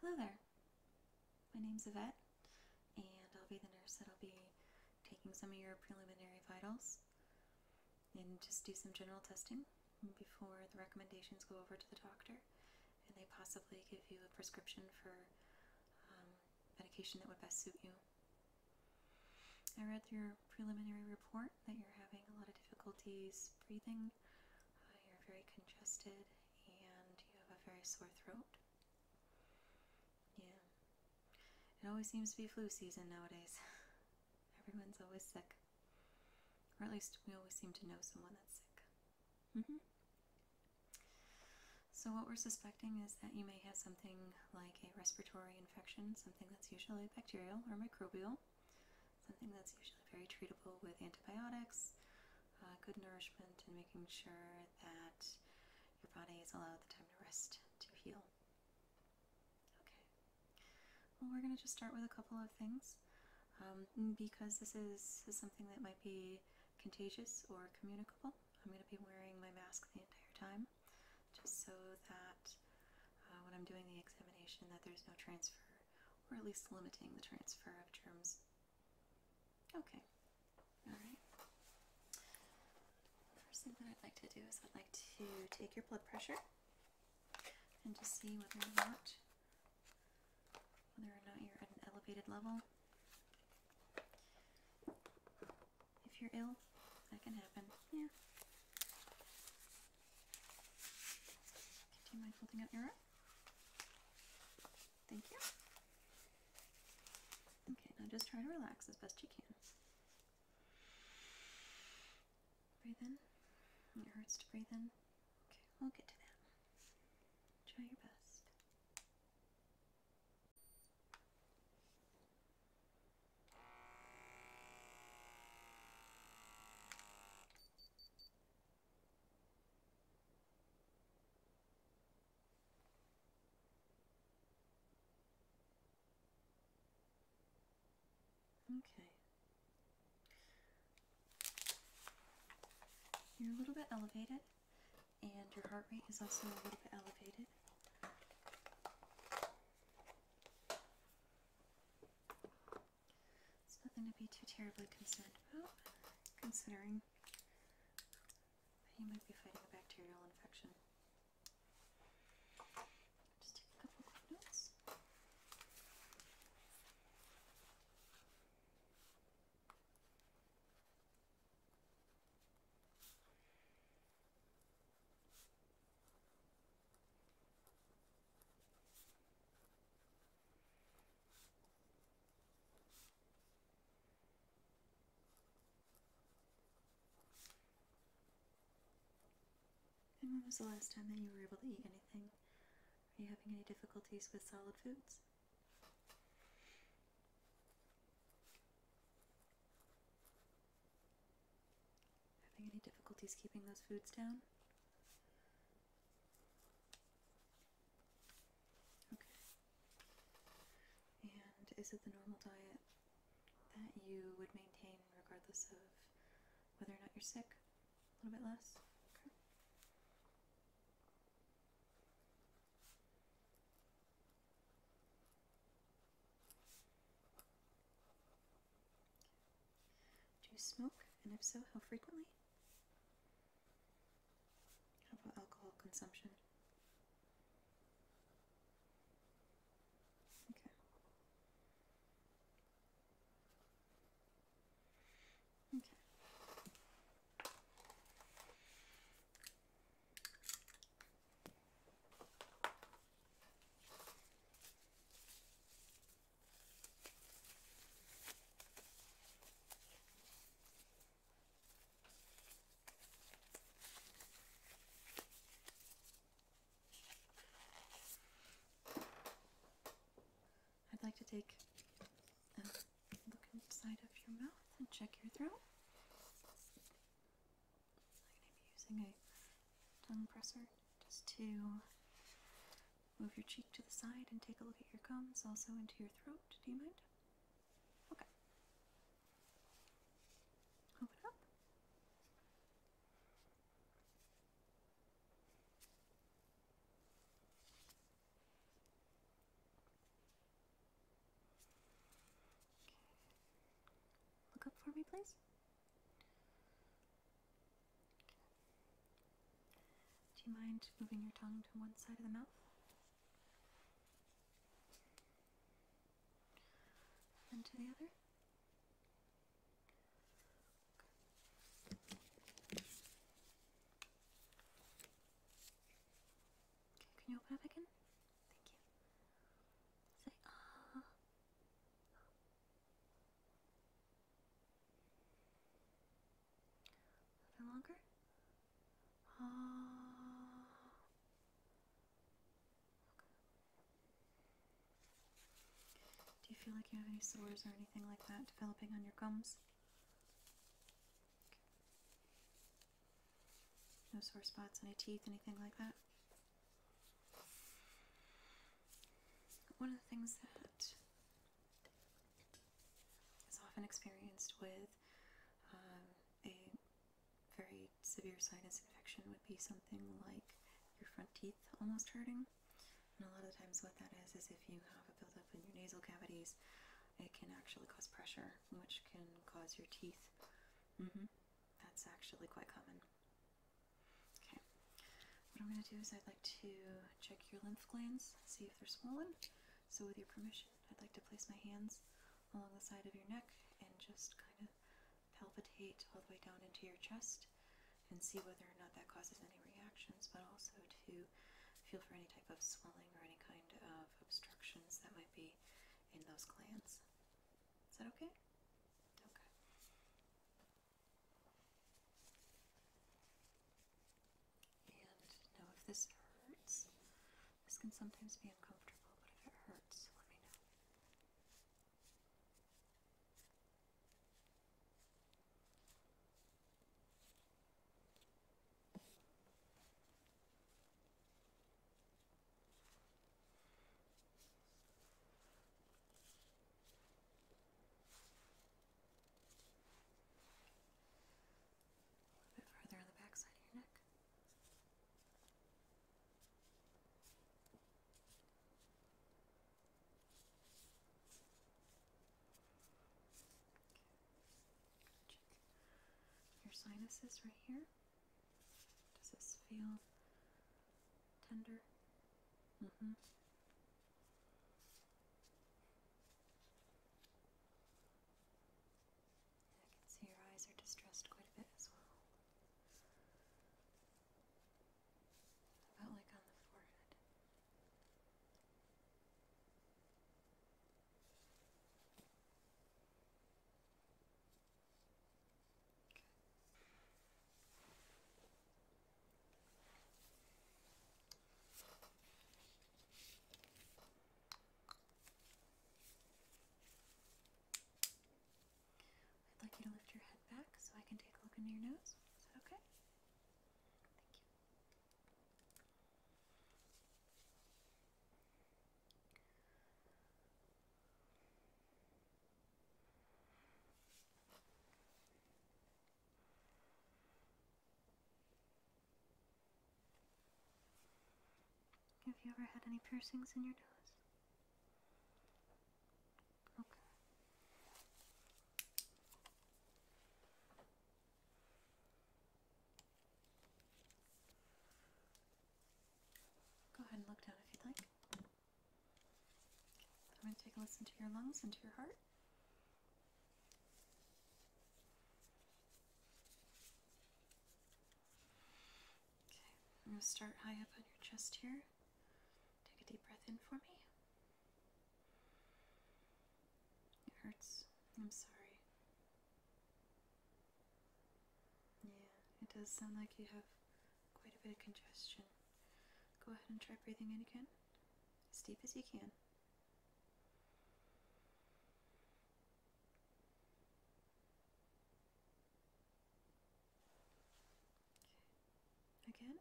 Hello there. My name's Yvette, and I'll be the nurse that'll be taking some of your preliminary vitals and just do some general testing before the recommendations go over to the doctor and they possibly give you a prescription for um, medication that would best suit you. I read through your preliminary report that you're having a lot of difficulties breathing uh, you're very congested and you have a very sore throat. Yeah. It always seems to be flu season nowadays. Everyone's always sick. Or at least we always seem to know someone that's sick. Mm -hmm. So, what we're suspecting is that you may have something like a respiratory infection, something that's usually bacterial or microbial, something that's usually very treatable with antibiotics, uh, good nourishment, and making sure that your body is allowed the time to rest to heal. Okay. Well, we're going to just start with a couple of things. Um, because this is, something that might be contagious or communicable, I'm going to be wearing my mask the entire time just so that uh, when I'm doing the examination that there's no transfer or at least limiting the transfer of germs. Okay, alright. First thing that I'd like to do is I'd like to take your blood pressure and just see whether or not whether or not you're at an elevated level. If you're ill, that can happen. Yeah. do you mind holding out your arm? Thank you. Okay, now just try to relax as best you can. Breathe in. It hurts to breathe in. Okay, we'll get to that. Try your best. Okay. You're a little bit elevated, and your heart rate is also a little bit elevated. It's nothing to be too terribly concerned about, considering you might be fighting a bacterial infection. Just take a couple quick notes when was the last time that you were able to eat anything? Are you having any difficulties with solid foods? Having any difficulties keeping those foods down? Okay. And is it the normal diet that you would maintain regardless of whether or not you're sick? A little bit less? Do you smoke? And if so, how frequently? How about alcohol consumption? Okay. Okay. I'd like to take a look inside of your mouth and check your throat. I'm going to be using a tongue presser just to move your cheek to the side and take a look at your gums, also into your throat. Do you mind? Okay. Open up. Look up for me, please. Do you mind moving your tongue to one side of the mouth? And to the other? Okay. can you open up again? Thank you. Say ah. A little longer. Uh, Do you feel like you have any sores or anything like that developing on your gums? No sore spots, any teeth, anything like that? One of the things that is often experienced with um, a very severe sinus infection would be something like your front teeth almost hurting. And a lot of times what that is is if you have a buildup in your nasal cavities, it can actually cause pressure, which can cause your teeth. Mm-hmm. That's actually quite common. Okay. What I'm going to do is I'd like to check your lymph glands, see if they're swollen. So with your permission, I'd like to place my hands along the side of your neck and just kind of palpitate all the way down into your chest and see whether or not that causes any reactions, but also to feel for any type of swelling or any kind of obstructions that might be in those glands. Is that okay? Okay. And know if this hurts. This can sometimes be uncomfortable, but if it hurts, let me know. A bit further on the back of your neck. your sinuses right here. Does this feel tender? Mm-hmm. I can see your eyes are distressed quite a bit as well. About like on the forehead. I'd like you to lift your head back so I can take a look into your nose. Is that okay? Thank you. Have you ever had any piercings in your nose? Okay. Go ahead and look down if you'd like. I'm going to take a listen to your lungs and to your heart. Okay, I'm going to start high up on your chest here. Take a deep breath in for me. It hurts. I'm sorry. Yeah, it does sound like you have quite a bit of congestion. Go ahead and try breathing in again, as deep as you can. Again.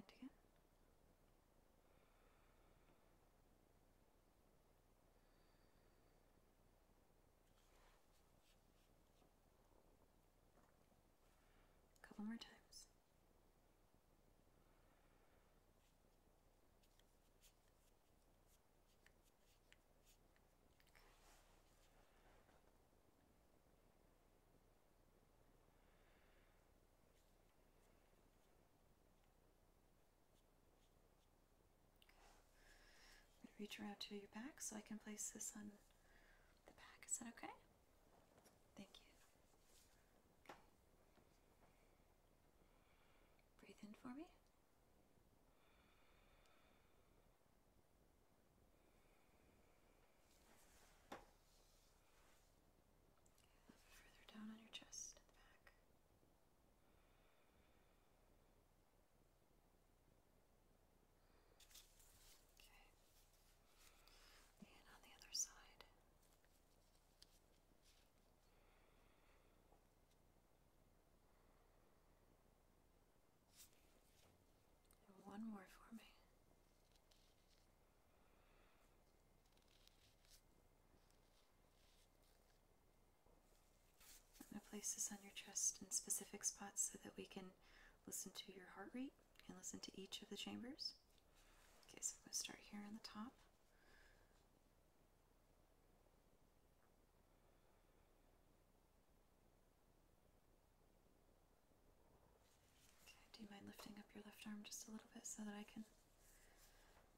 And again. A couple more times. I'm going to reach around to your back so I can place this on the back. Is that okay? Thank you. Breathe in for me further down on your chest back. Okay. And on the other side. one more for me. I'm going to place this on your chest in specific spots so that we can listen to your heart rate and listen to each of the chambers. Okay, so I'm going to start here on the top. Okay, do you mind lifting up your left arm just a little bit so that I can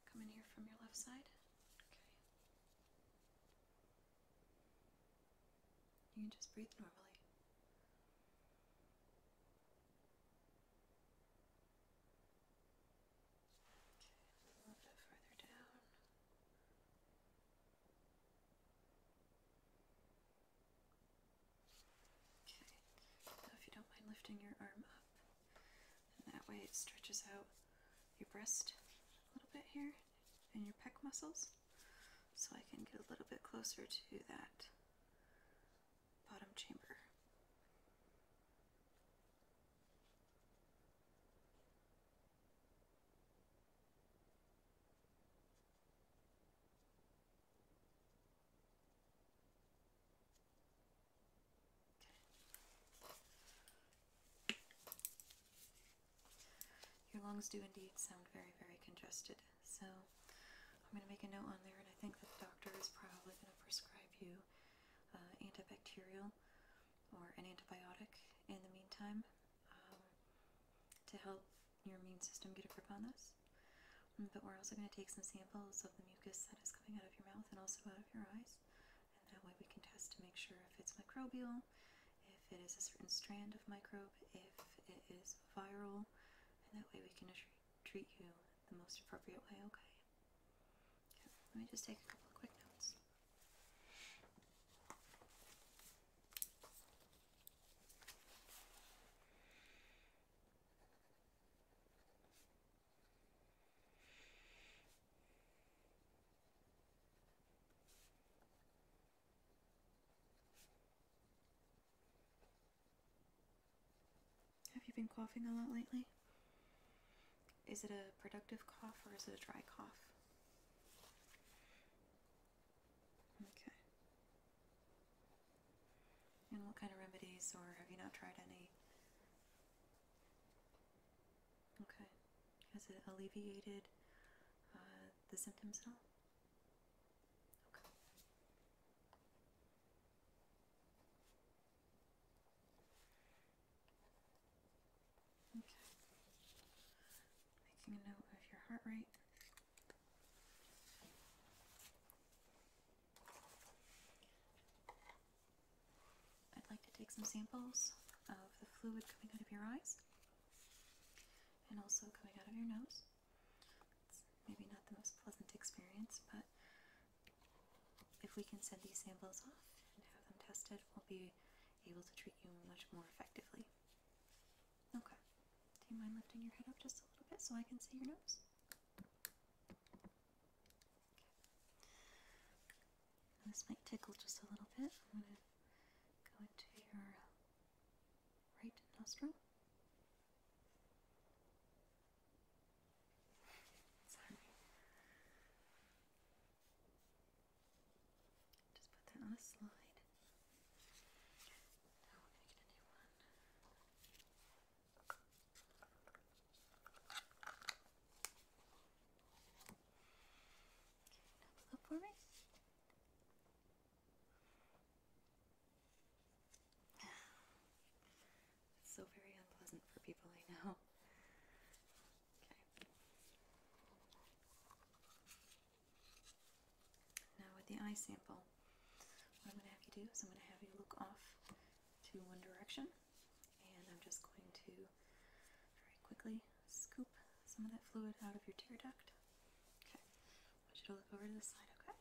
come in here from your left side? Okay. You can just breathe normally. Okay, a little bit further down. Okay, so if you don't mind lifting your arm up, and that way it stretches out your breast a little bit here and your pec muscles, so I can get a little bit closer to that bottom chamber. Your lungs do indeed sound very, very congested, so I'm going to make a note on there, and I think that the doctor is probably going to prescribe you uh, antibacterial or an antibiotic in the meantime um, to help your immune system get a grip on this. But we're also going to take some samples of the mucus that is coming out of your mouth and also out of your eyes. And that way we can test to make sure if it's microbial, if it is a certain strand of microbe, if it is viral, and that way we can treat you the most appropriate way, okay? okay let me just take a couple of quick notes. Have you been coughing a lot lately? Is it a productive cough or is it a dry cough? Okay. And what kind of remedies, or have you not tried any? Okay. Has it alleviated uh, the symptoms at all? Okay. Making a note of your heart rate. I'd like to take some samples of the fluid coming out of your eyes and also coming out of your nose. It's maybe not the most pleasant experience, but if we can send these samples off and have them tested, we'll be able to treat you much more effectively. Okay. Do you mind lifting your head up just a little bit so I can see your nose? this might tickle just a little bit. I'm going to go into your right nostril. Sorry. Just put that on a slide. Now we're going to get a new one. Now for me. It's so very unpleasant for people I know. Okay. Now with the eye sample, so what I'm going to have you do is I'm going to have you look off to one direction and I'm just going to very quickly scoop some of that fluid out of your tear duct. Okay, want you to look over to the side, okay?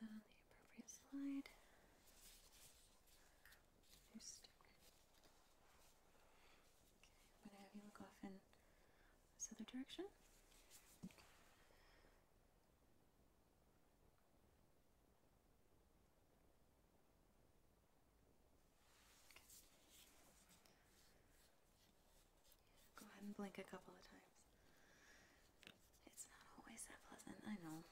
Put that on the appropriate slide. Okay, I'm going to have you look off in this other direction. Go ahead and blink a couple of times. It's not always that pleasant, I know.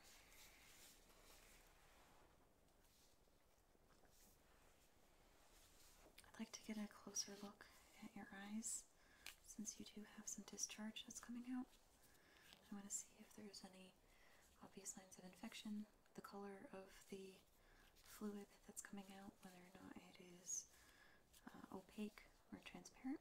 I'd like to get a closer look at your eyes since you do have some discharge that's coming out. I want to see if there's any obvious signs of infection, the color of the fluid that's coming out, whether or not it is uh, opaque or transparent.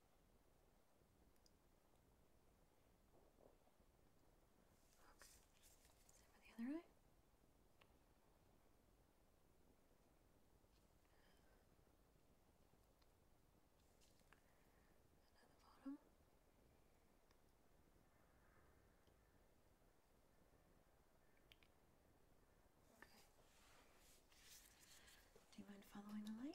Okay. Same with the other eye. And bottom. Okay. Do you mind following the light?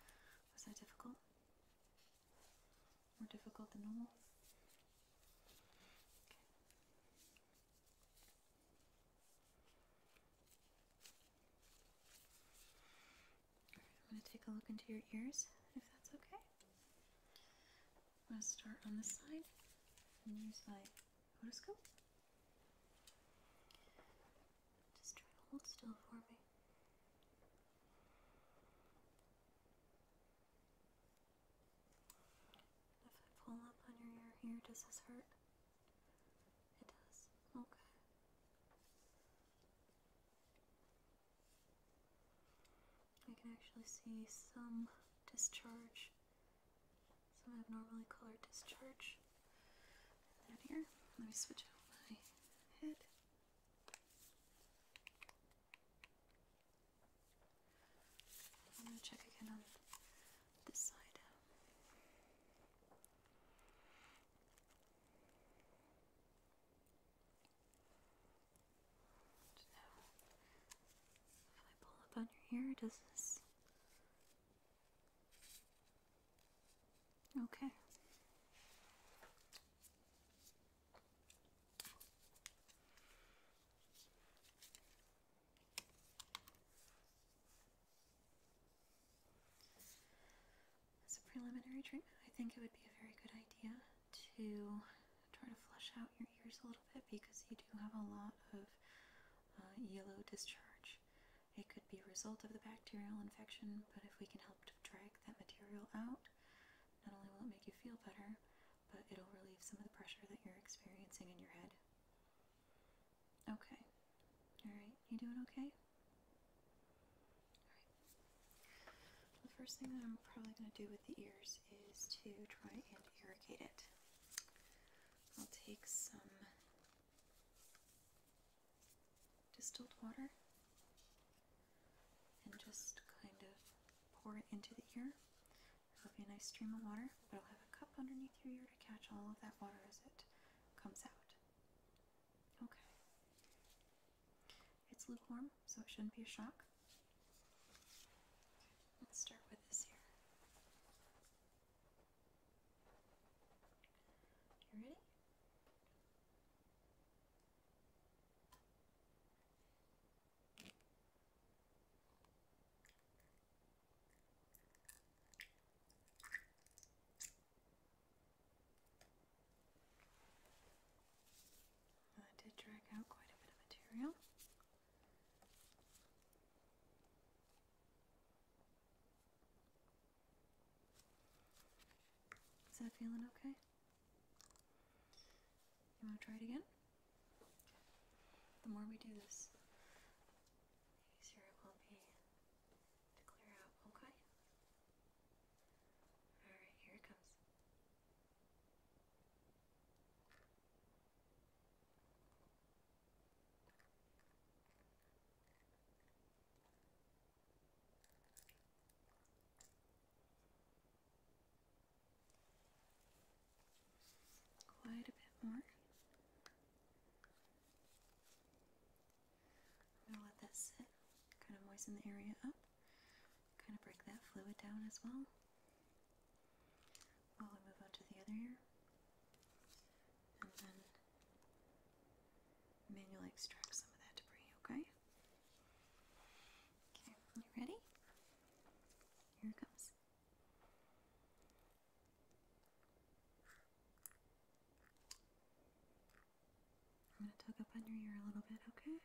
Okay. Was that difficult? More difficult than normal? Okay. I'm going to take a look into your ears, if that's okay. I'm going to start on this side and use my otoscope. Just try to hold still for me. If I pull up on your ear here, does this hurt? It does. Okay. I can actually see some discharge, some abnormally colored discharge here. Let me switch out my head. I'm going to check again on this side. To know if I pull up on your hair, does this? Okay. As a preliminary treatment, I think it would be a very good idea to try to flush out your ears a little bit because you do have a lot of uh, yellow discharge. It could be a result of the bacterial infection, but if we can help to drag that material out, not only will it make you feel better, but it'll relieve some of the pressure that you're experiencing in your head. Okay. Alright, you doing okay? The first thing that I'm probably going to do with the ears is to try and irrigate it. I'll take some distilled water and just kind of pour it into the ear. It'll be a nice stream of water, but I'll have a cup underneath your ear to catch all of that water as it comes out. Okay. It's lukewarm, so it shouldn't be a shock. Let's start with this here. You ready? That did drag out quite a bit of material. Is that feeling okay? You want to try it again? The more we do this, easier it will be to clear out, okay? Alright, here it comes. Quite a bit more. I'm going to let that sit, kind of moisten the area up, kind of break that fluid down as well. While we move on to the other ear, and then manually extract some of that debris, okay? Okay, you ready? Here it comes. I'm going to tug up on your ear a little bit, okay?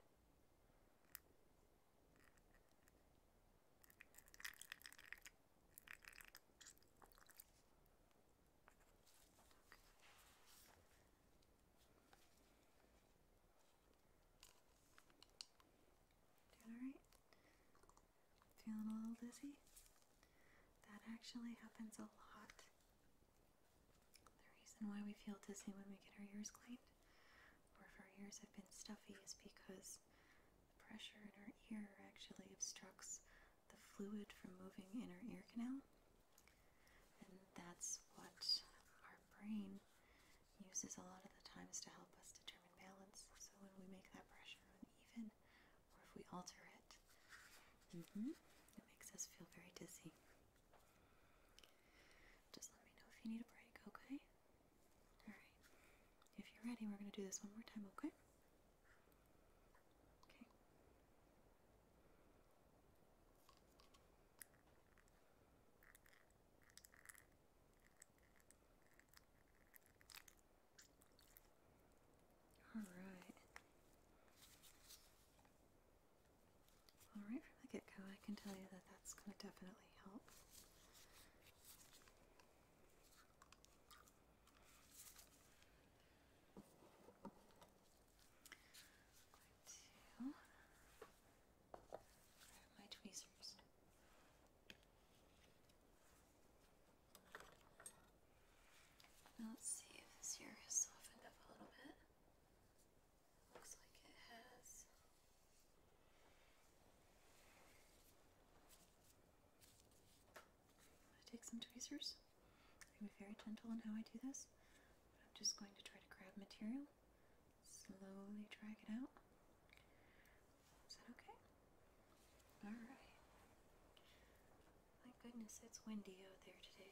Doing alright? Feeling a little dizzy? That actually happens a lot the reason why we feel dizzy when we get our ears cleaned, or if our ears have been stuffy, is because the pressure in our ear actually obstructs the fluid from moving in our ear canal. And that's what our brain uses a lot of the times to help us determine balance. So when we make that pressure uneven, or if we alter it, Mm hmm. It makes us feel very dizzy. Just let me know if you need a break, okay? Alright. If you're ready, we're going to do this one more time, okay? Okay. All right. All right, from the get-go, I can tell you that that's going to definitely help. my tweezers let's see if this here has softened up a little bit. Looks like it has. I'm going to take some tweezers. I'm very gentle in how I do this. I'm just going to try to grab material, slowly drag it out. Is that okay? Alright. My goodness, it's windy out there today.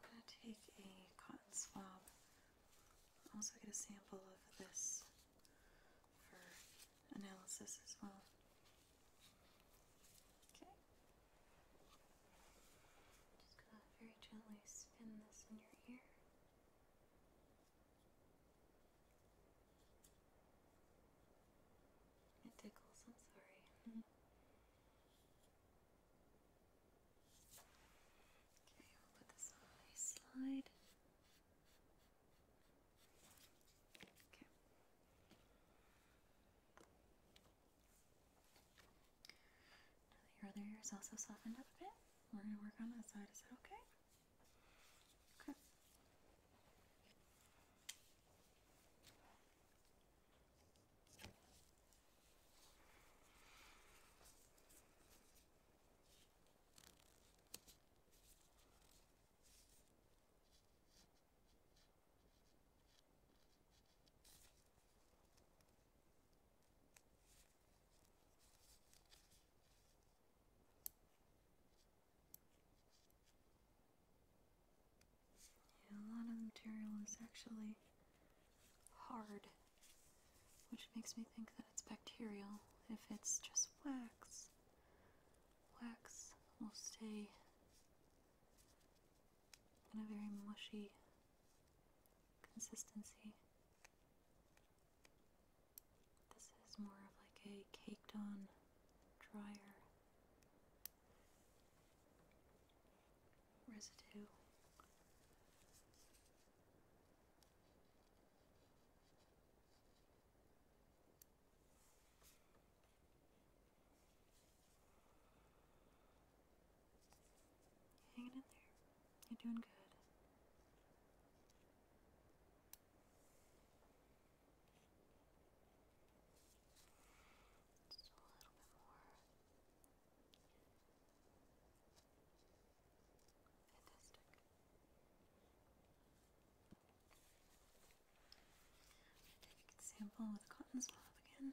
I'm going to take a cotton swab. i also get a sample of this for analysis as well. Okay. Just gonna very gently spin this in your ear. It tickles, I'm sorry. Okay, put this on a slide. Okay. Now that your other ear is also softened up a bit, we're going to work on that side. Is that okay? Okay. Yeah, a lot of material is actually hard, which makes me think that it's bacterial. If it's just wax, wax will stay in a very mushy consistency. This is more of like a caked on dryer residue. Hanging in there. You're doing good. Just a little bit more. Fantastic. Take with a cotton swab again.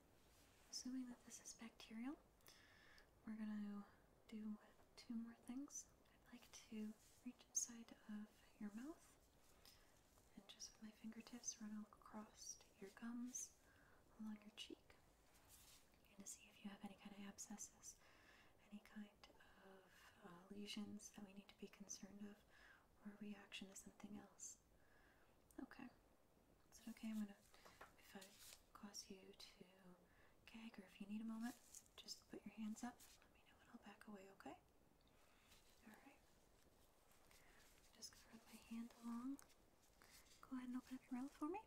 Assuming that this is bacterial, we're gonna do two more things. I'd like to reach inside of your mouth and just with my fingertips run across to your gums, along your cheek, and to see if you have any kind of abscesses, any kind of uh, lesions that we need to be concerned of, or a reaction to something else. Okay. Is it okay? I'm gonna, if I cause you to gag or if you need a moment, just put your hands up. Let me know and I'll back away, okay? Alright. Just gonna run my hand along. Go ahead and open up your mouth for me.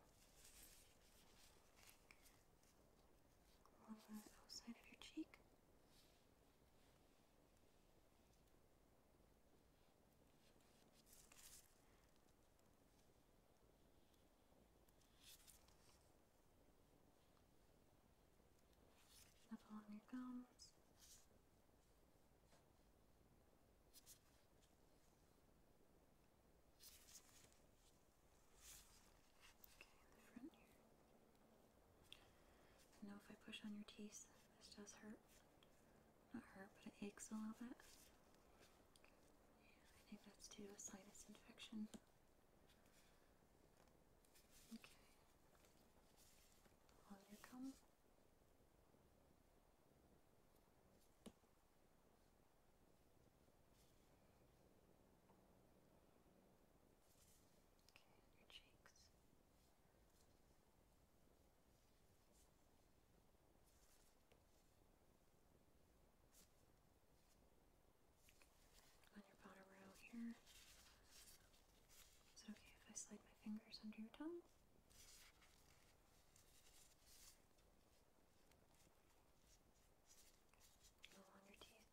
Along the outside of your cheek. Up along your gums. Okay, the front here. I if I push on your teeth, this does hurt not hurt, but it aches a little bit. I think that's due to a sinus infection. Okay. Hold your comb. Okay, your cheeks. On your bottom row here. Is it okay if I slide my fingers under your tongue? along your teeth.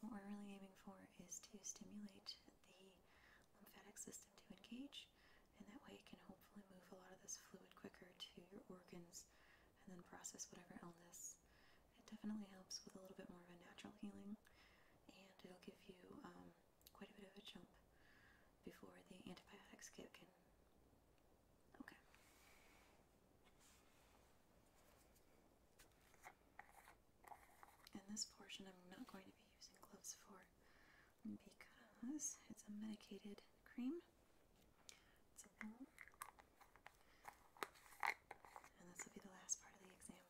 what we're really aiming for is to stimulate the lymphatic system to engage, and that way it can hopefully move a lot of this fluid quicker to your organs and then process whatever illness. It definitely helps with a little bit more of a natural healing, and it'll give you um, quite a bit of a jump before the antibiotics kick in. Okay. And this portion I'm not going to be using gloves for because it's a medicated cream. And this will be the last part of the exam.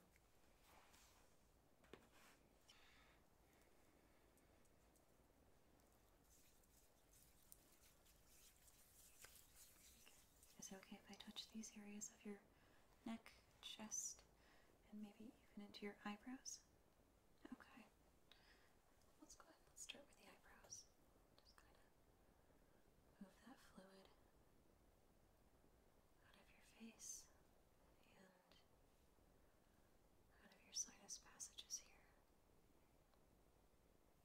Is it okay if I touch these areas of your neck, chest, and maybe even into your eyebrows? Okay. Let's go ahead let's start with the eyebrows. Just kind of move that fluid out of your face and out of your sinus passages here.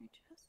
You just.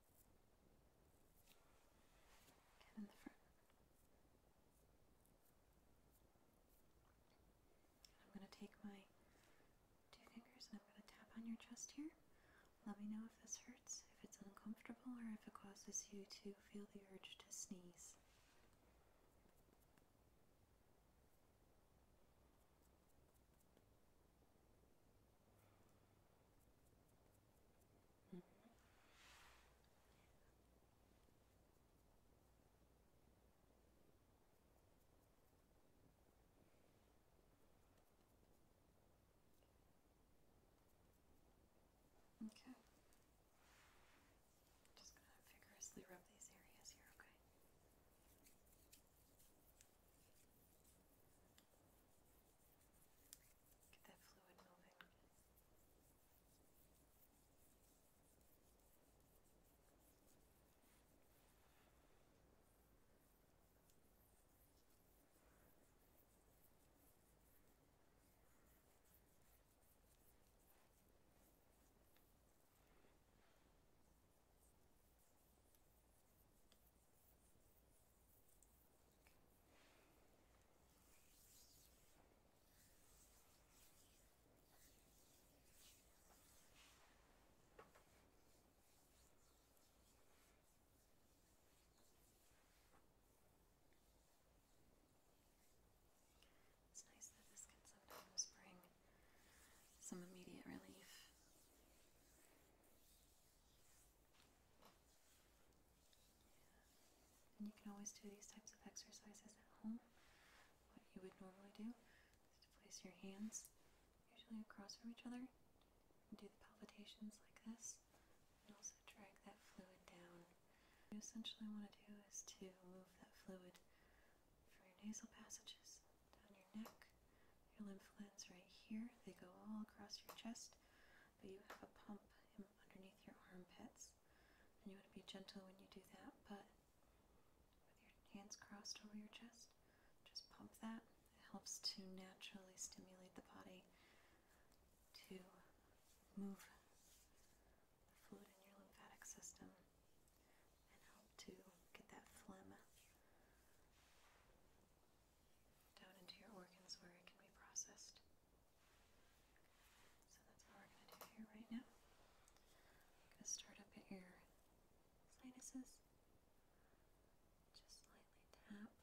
I'm going to take my two fingers and I'm going to tap on your chest here. Let me know if this hurts, if it's uncomfortable, or if it causes you to feel the urge to sneeze. Mm -hmm. Okay. Just gonna vigorously rub these areas here, okay? Get that fluid moving. Good. It's nice that this can sometimes bring some immediate relief. And you can always do these types of exercises at home. What you would normally do is to place your hands usually across from each other and do the palpitations like this and also drag that fluid down. What you essentially want to do is to move that fluid from your nasal passages down your neck your lymph glands right here, they go all across your chest, but you have a pump underneath your armpits. And you want to be gentle when you do that, but with your hands crossed over your chest, just pump that. It helps to naturally stimulate the body to move the fluid in your lymphatic system and help to get that phlegm down into your organs where it can be processed. So that's what we're going to do here right now. going to start up at your sinuses. Just lightly tap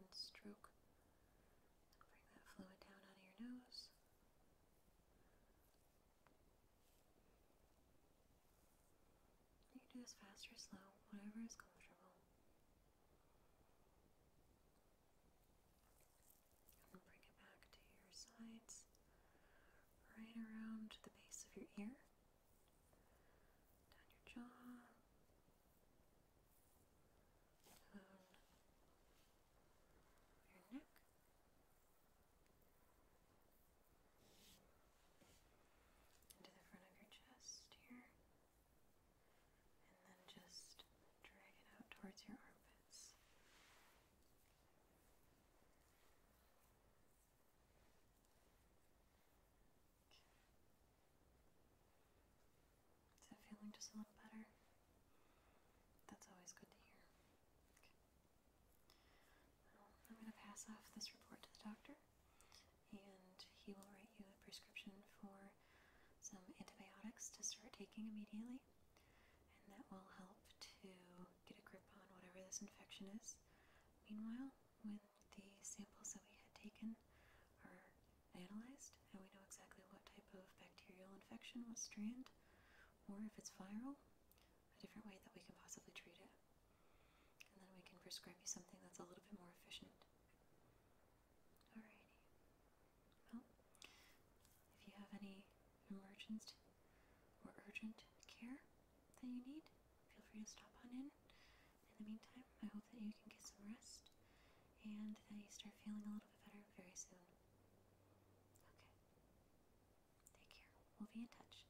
and stroke. Bring that fluid down out of your nose. You can do this fast or slow, whatever is comfortable. we'll bring it back to your sides, right around the base of your ear, down your jaw, down your neck into the front of your chest here. And then just drag it out towards your armpits. Is that feeling just a little better? That's always good to hear. I'm going to pass off this report to the doctor and he will write you a prescription for some antibiotics to start taking immediately, and that will help to get a grip on whatever this infection is. Meanwhile, when the samples that we had taken are analyzed, and we know exactly what type of bacterial infection, was strand, or if it's viral, a different way that we can possibly treat it. And then we can prescribe you something that's a little bit more efficient. Alrighty. Well, if you have any emergent or urgent care that you need, feel free to stop on in. In the meantime, I hope that you can get some rest and that you start feeling a little bit better very soon. Okay. Take care. We'll be in touch.